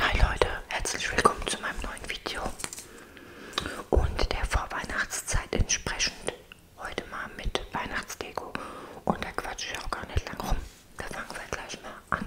Hi Leute, herzlich willkommen zu meinem neuen Video und der Vorweihnachtszeit entsprechend heute mal mit Weihnachtsdeko und da quatsche ich auch gar nicht lang rum. Da fangen wir gleich mal an.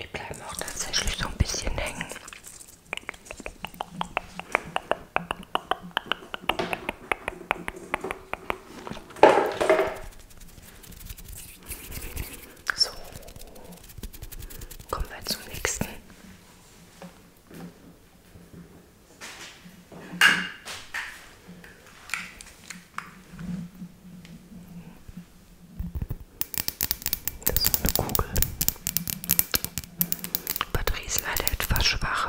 Die bleiben auch tatsächlich so ein bisschen hängen. So, kommen wir zum nächsten. Das ist eine Kugel. Batterie ist leider etwas schwach.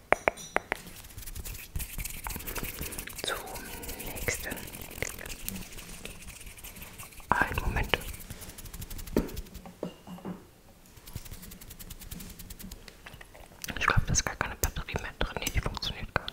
Zum nächsten. Ein Moment. Ich glaube, da ist gar keine Batterie mehr drin. Nee, die funktioniert gar nicht.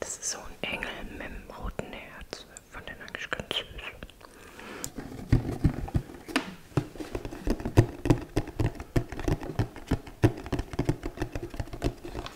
Das ist so ein Engel mit dem roten Herz. Fand den eigentlich ganz süß.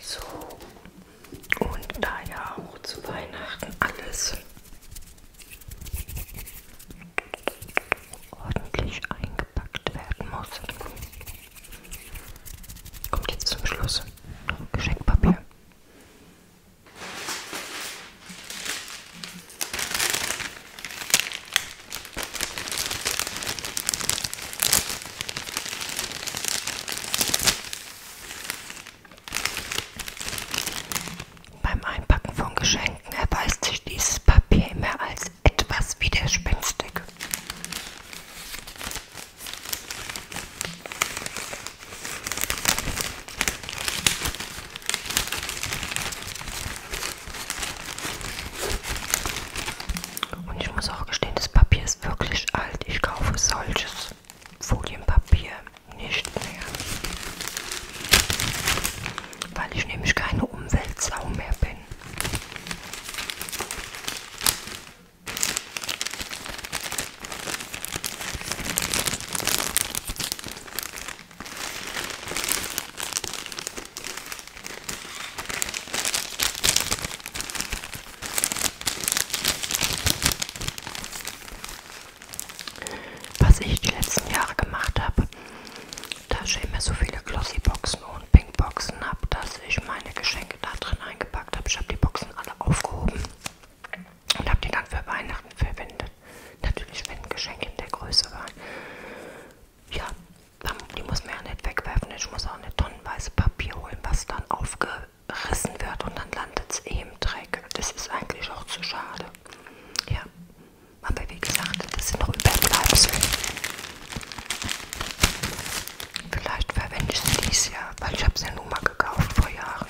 So, und da ja auch zu Weihnachten alles ordentlich eingepackt werden muss, kommt jetzt zum Schluss Geschenkpapier. Beim Einpacken von Geschenken erweist sich dieses Papier immer als etwas widerspenstig. Und ich muss auch gestehen, das Papier ist wirklich alt. Ich kaufe solches Folienpapier nicht mehr. Weil ich nämlich keine Umweltsau mehr bin. Was ich die letzten Jahre gemacht habe, da stehen mir so viele Glossyboxen und Pinkboxen ab, dass ich meine Geschenke da drin eingepackt habe. Ich habe die Boxen alle aufgehoben und habe die dann für Weihnachten verwendet. Natürlich, wenn Geschenke in der Größe waren. Ja, ähm, die muss man ja nicht wegwerfen. Ich muss auch nicht tonnenweise Papier holen, was dann aufgerissen wird und dann landet es eh im Dreck. Das ist eigentlich auch zu schade. Ja, aber wie gesagt, das sind noch Überbleibsel. Vielleicht verwende ich sie dies Jahr, weil ich habe sie ja nur mal gekauft vor Jahren.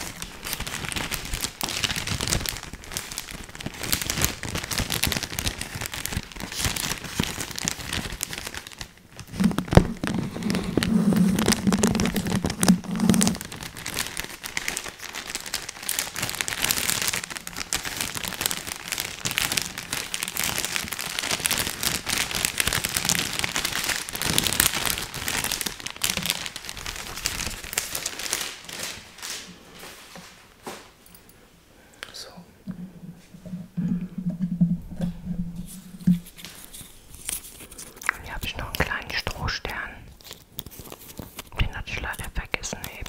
So. Und hier habe ich noch einen kleinen Strohstern. Den hatte ich leider vergessen eben.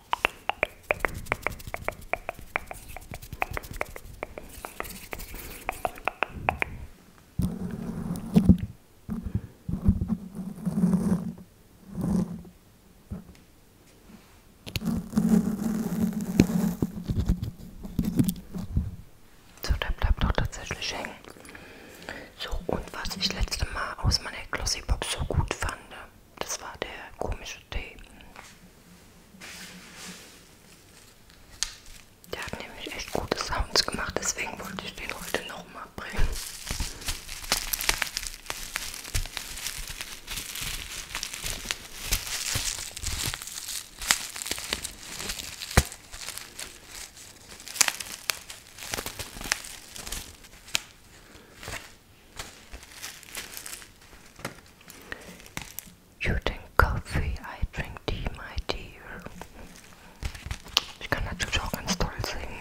So, der bleibt doch tatsächlich hängen. So, und was ich letzte Mal aus meiner Glossy Box so gut fand, das war der komische Tee. Der hat nämlich echt gute Sounds gemacht, deswegen wollte ich den heute nochmal bringen. You drink coffee, I drink tea, my dear. Ich kann natürlich auch ganz toll singen.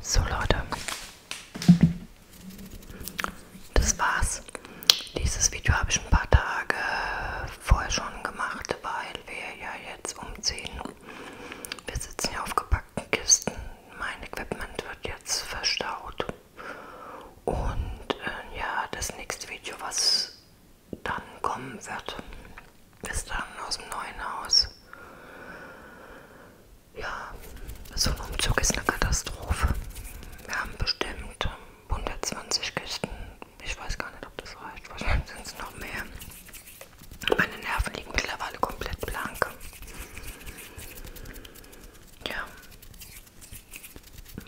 So Leute, das war's. Dieses Video habe ich ein paar Tage vorher schon gemacht, weil wir ja jetzt um 10 wir sitzen hier auf gepackten Kisten. Mein Equipment wird jetzt verstaut. Und äh, ja, das nächste Video, was dann kommen wird, ist dann aus dem neuen Haus. Ja, so ein Umzug ist eine Katastrophe. Wir haben bestimmt 120 Kisten. Ich weiß gar nicht, ob das reicht. Wahrscheinlich sind es noch mehr. Meine Nerven liegen mittlerweile komplett blank. Ja.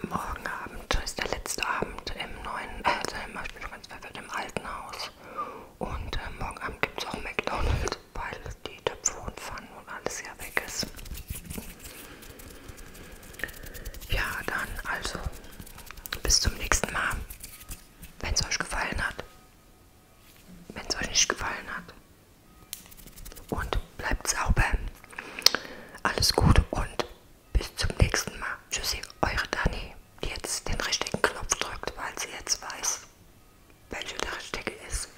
Morgen Abend ist der letzte Abend im neuen, also im, ich bin schon ganz verwirrt, im alten Haus. Und äh, morgen Abend gibt es auch McDonalds, weil die Töpfe und Pfannen und alles ja weg ist. Ja, dann also bis zum nächsten Mal wenn es euch gefallen hat. Wenn es euch nicht gefallen hat. Und bleibt sauber. Alles Gute und bis zum nächsten Mal. Tschüssi, eure Dani, die jetzt den richtigen Knopf drückt, weil sie jetzt weiß, welcher der richtige ist.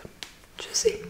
Tschüssi.